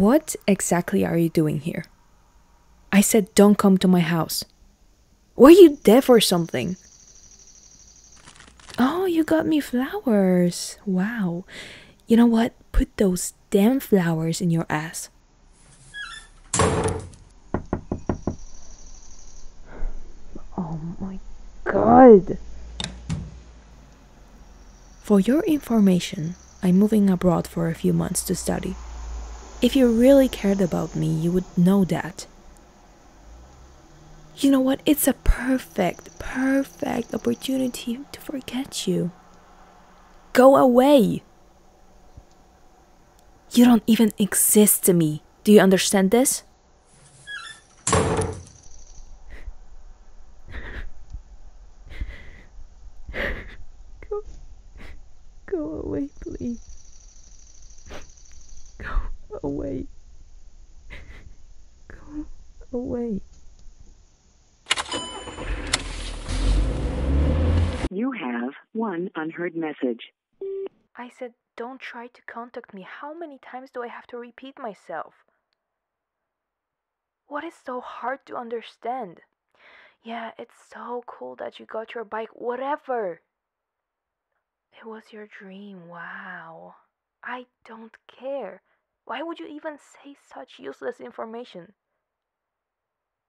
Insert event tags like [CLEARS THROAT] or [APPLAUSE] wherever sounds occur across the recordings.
What exactly are you doing here? I said don't come to my house. Were you deaf or something? Oh, you got me flowers. Wow. You know what? Put those damn flowers in your ass. Oh my god! For your information, I'm moving abroad for a few months to study. If you really cared about me, you would know that. You know what? It's a perfect, perfect opportunity to forget you. Go away! You don't even exist to me. Do you understand this? Go, go away, please. Go away. Go away. You have one unheard message. I said, don't try to contact me. How many times do I have to repeat myself? What is so hard to understand? Yeah, it's so cool that you got your bike, whatever. It was your dream, wow. I don't care. Why would you even say such useless information?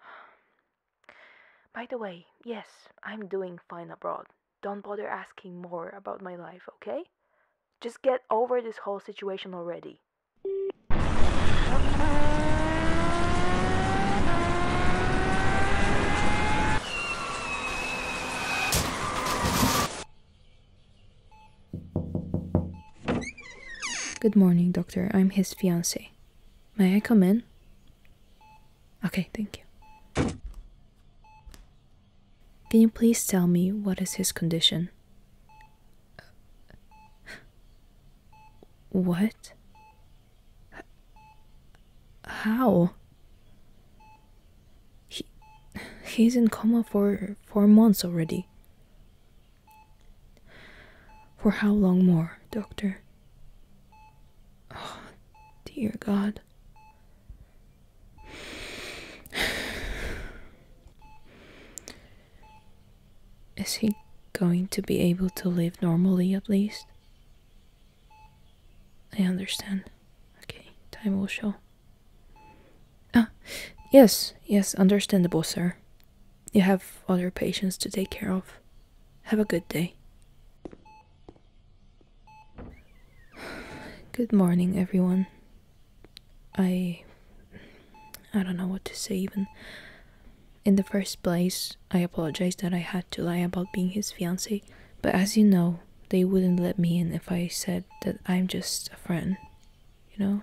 [SIGHS] By the way, yes, I'm doing fine abroad. Don't bother asking more about my life, okay? Just get over this whole situation already. Good morning, doctor. I'm his fiancée. May I come in? Okay, thank you. Can you please tell me what is his condition? Uh, what? How? He he's in coma for 4 months already. For how long more, doctor? Oh, [SIGHS] dear God. [SIGHS] Is he going to be able to live normally at least? I understand. Okay, time will show. Ah, yes, yes, understandable, sir. You have other patients to take care of. Have a good day. [SIGHS] Good morning, everyone. I. I don't know what to say, even. In the first place, I apologize that I had to lie about being his fiancé. but as you know, they wouldn't let me in if I said that I'm just a friend, you know?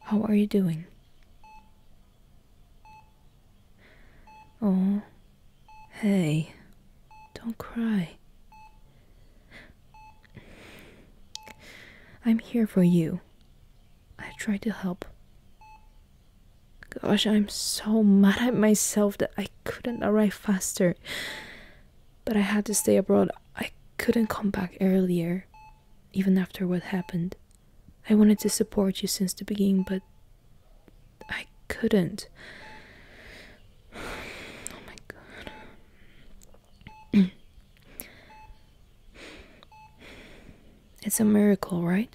How are you doing? Oh, hey, don't cry. I'm here for you. I tried to help. Gosh, I'm so mad at myself that I couldn't arrive faster. But I had to stay abroad. I couldn't come back earlier even after what happened. I wanted to support you since the beginning, but I couldn't. [SIGHS] Oh my god. [CLEARS THROAT] it's a miracle, right?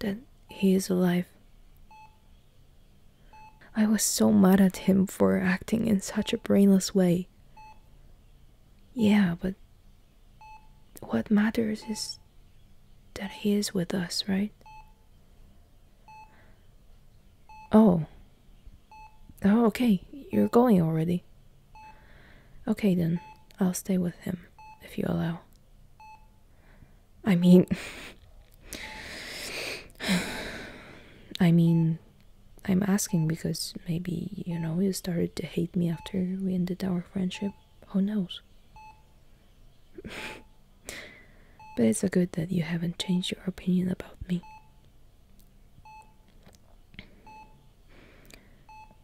That he is alive. I was so mad at him for acting in such a brainless way. Yeah, but what matters is that he is with us, right? Oh. Oh, okay. You're going already. Okay, then. I'll stay with him, if you allow. I mean. [SIGHS] I mean, I'm asking because maybe, you know, you started to hate me after we ended our friendship. Who knows? [LAUGHS] but it's a good that you haven't changed your opinion about me.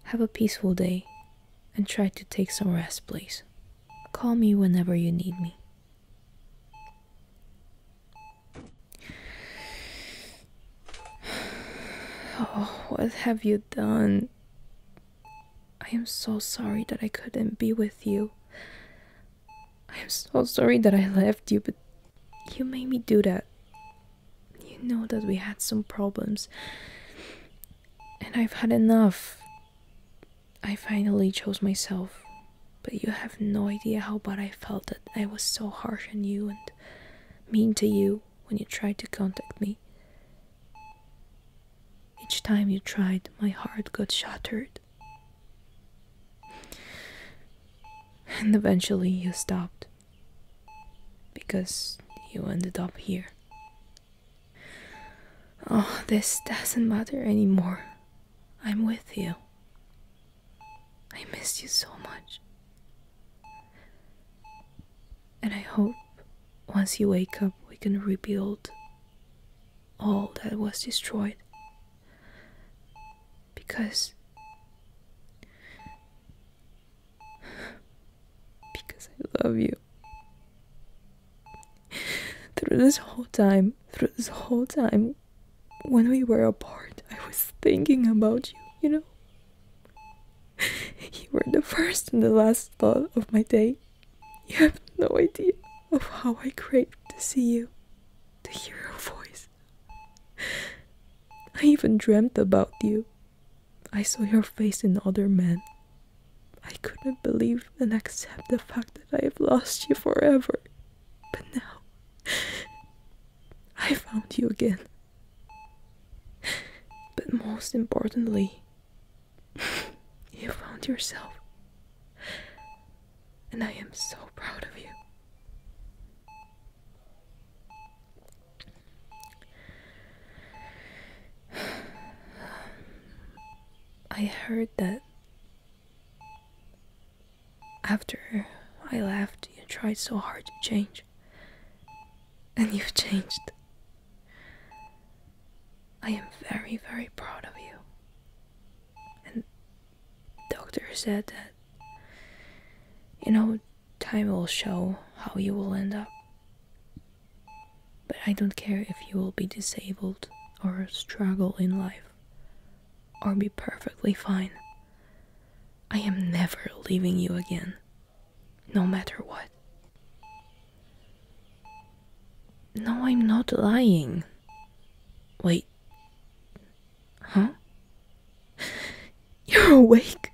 Have a peaceful day and try to take some rest, please. Call me whenever you need me. [SIGHS] Oh, what have you done? I am so sorry that I couldn't be with you. I am so sorry that I left you, but you made me do that. You know that we had some problems, and I've had enough. I finally chose myself, but you have no idea how bad I felt that I was so harsh on you and mean to you when you tried to contact me? Each time you tried, my heart got shattered. And eventually you stopped. Because you ended up here. Oh, this doesn't matter anymore. I'm with you. I missed you so much. And I hope once you wake up, we can rebuild all that was destroyed. Because. Because I love you. Through this whole time, through this whole time, when we were apart, I was thinking about you, you know? You were the first and the last thought of my day. You have no idea of how I craved to see you, to hear your voice. I even dreamt about you. I saw your face in other men. I couldn't believe and accept the fact that I have lost you forever. But now I found you again. But most importantly, you found yourself. And I am so proud of you. [SIGHS] I heard that after I left, you tried so hard to change. And you've changed. I am very, very proud of you. And doctor said that you know time will show how you will end up. But I don't care if you will be disabled or struggle in life or be perfectly fine. I am never leaving you again, no matter what. No, I'm not lying. Wait. Huh? [LAUGHS] You're awake.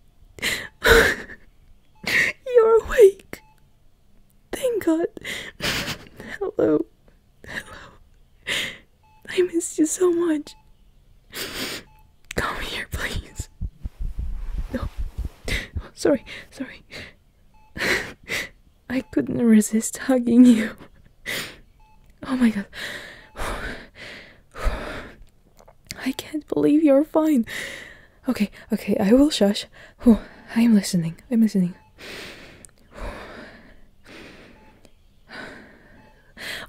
[LAUGHS] You're awake. Thank God. [LAUGHS] Hello. Hello. [LAUGHS] I missed you so much. Come here, please. No. sorry, sorry. [LAUGHS] I couldn't resist hugging you. Oh my god. [SIGHS] I can't believe you're fine. Okay, okay, I will shush. I [SIGHS] am listening. I'm listening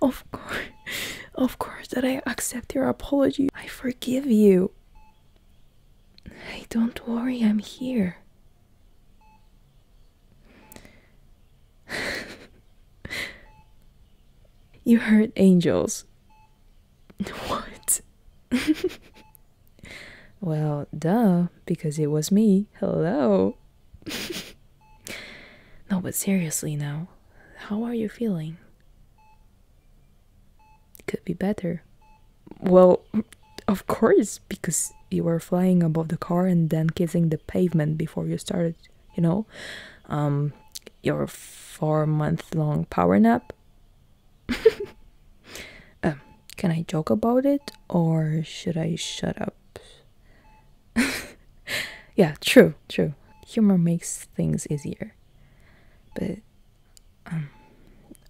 of course, of course, that I accept your apology. I forgive you. Hey, don't worry, I'm here. [LAUGHS] you heard angels. [LAUGHS] What? [LAUGHS] Well, duh, because it was me. Hello. [LAUGHS] no, but seriously now, how are you feeling? Could be better. Well, of course, because you were flying above the car and then kissing the pavement before you started, you know? Um, your four month long power nap. [LAUGHS] Um, can I joke about it or should I shut up? [LAUGHS] yeah, true, true. Humor makes things easier. But um,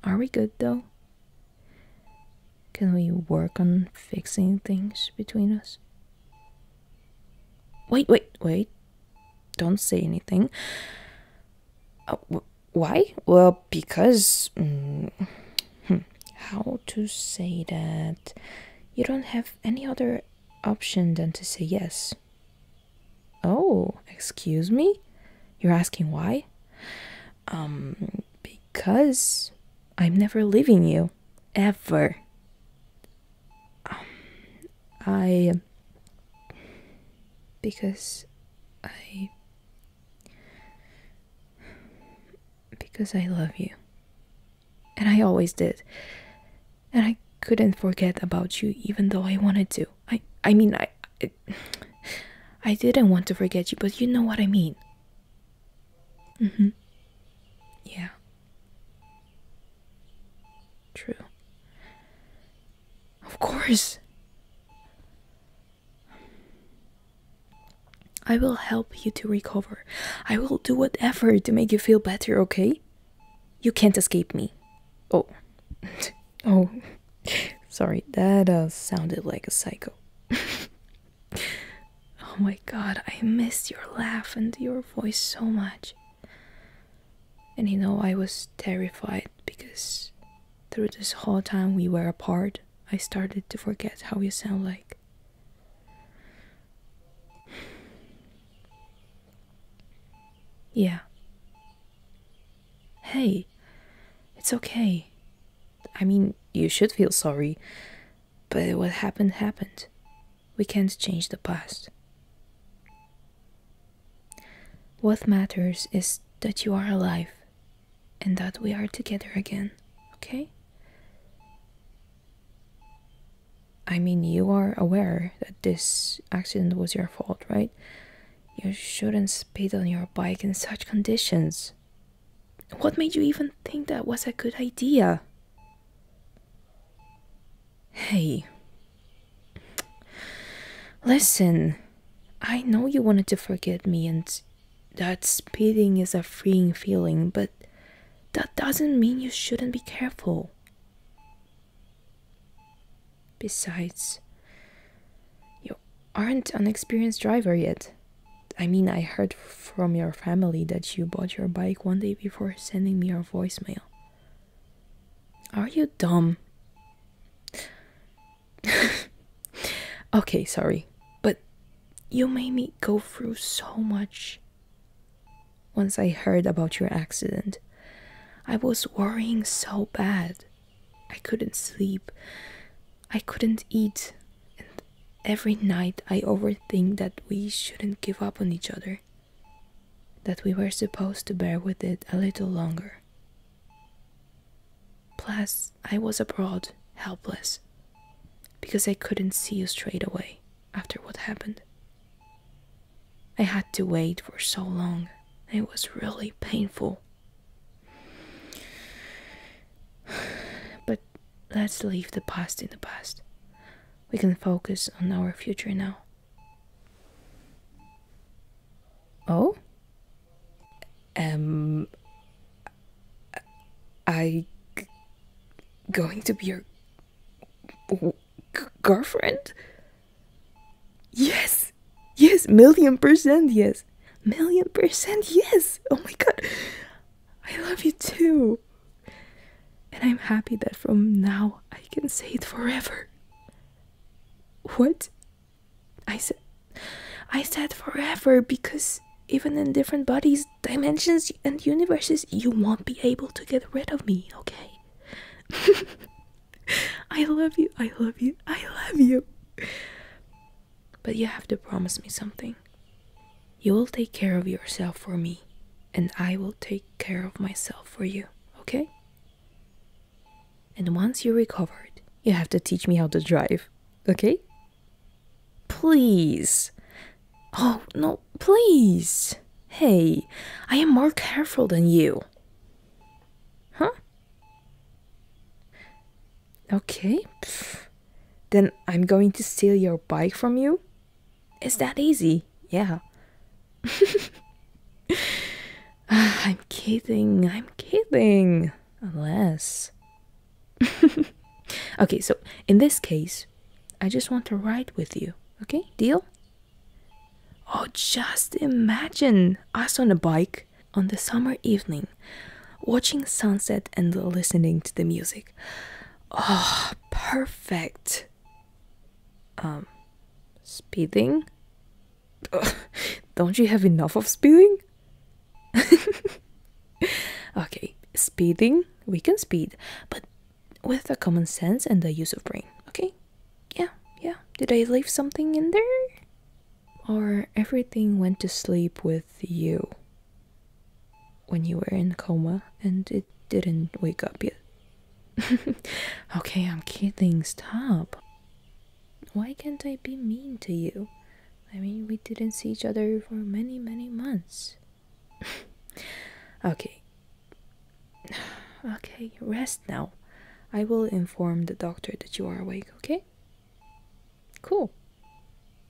are we good though? Can we work on fixing things between us? Wait, wait, wait. Don't say anything. Oh, why? Well, because. Mm, hmm, how to say that? You don't have any other option than to say yes. Oh, excuse me? You're asking why? Um, because I'm never leaving you. Ever. Um, I. Because I. Because I love you. And I always did. And I couldn't forget about you even though I wanted to. I I mean I I, [SIGHS] didn't want to forget you, but you know what I mean. Mhm. Mm yeah. True. Of course. I will help you to recover. I will do whatever to make you feel better, okay? You can't escape me. Oh. [LAUGHS] oh. Sorry, that uh, sounded like a psycho. [LAUGHS] oh my god, I miss your laugh and your voice so much. And you know, I was terrified because through this whole time we were apart, I started to forget how you sound like. Yeah. Hey, it's okay. I mean, you should feel sorry, but what happened happened. We can't change the past. What matters is that you are alive and that we are together again, okay? I mean, you are aware that this accident was your fault, right? You shouldn't speed on your bike in such conditions. What made you even think that was a good idea? Hey. Listen, I know you wanted to forget me, and that speeding is a freeing feeling, but that doesn't mean you shouldn't be careful. Besides, you aren't an experienced driver yet. I mean, I heard from your family that you bought your bike one day before sending me your voicemail. Are you dumb? [LAUGHS] okay, sorry. But you made me go through so much. Once I heard about your accident, I was worrying so bad. I couldn't sleep. I couldn't eat. And every night I overthink that we shouldn't give up on each other that we were supposed to bear with it a little longer. Plus, I was abroad, helpless, because I couldn't see you straight away after what happened. I had to wait for so long, it was really painful. [SIGHS] But let's leave the past in the past. We can focus on our future now. Oh? Am um, I going to be your girlfriend? Yes! Yes! Million percent yes! Million percent yes! Oh my god! I love you too! And I'm happy that from now I can say it forever. What? I said I said forever because even in different bodies, dimensions and universes, you won't be able to get rid of me, okay? [LAUGHS] I love you. I love you. I love you. But you have to promise me something. You will take care of yourself for me and I will take care of myself for you, okay? And once you're recovered, you have to teach me how to drive, okay? Please. Oh, no, please. Hey, I am more careful than you. Huh? Okay. Then I'm going to steal your bike from you? Is that easy? Yeah. [LAUGHS] I'm kidding, I'm kidding. Unless. [LAUGHS] okay, so in this case, I just want to ride with you. Okay, deal? Oh, just imagine us on a bike on the summer evening, watching sunset and listening to the music. Oh, perfect. Um, speeding? [LAUGHS] Don't you have enough of speeding? [LAUGHS] okay, speeding, we can speed, but with the common sense and the use of brain, okay? Yeah, yeah. Did I leave something in there? Or everything went to sleep with you? when you were in coma and it didn't wake up yet. [LAUGHS] okay, I'm kidding. Stop. Why can't I be mean to you? I mean, we didn't see each other for many, many months. [LAUGHS] okay. [SIGHS] Okay, rest now. I will inform the doctor that you are awake, okay? Cool.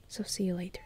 So, see you later.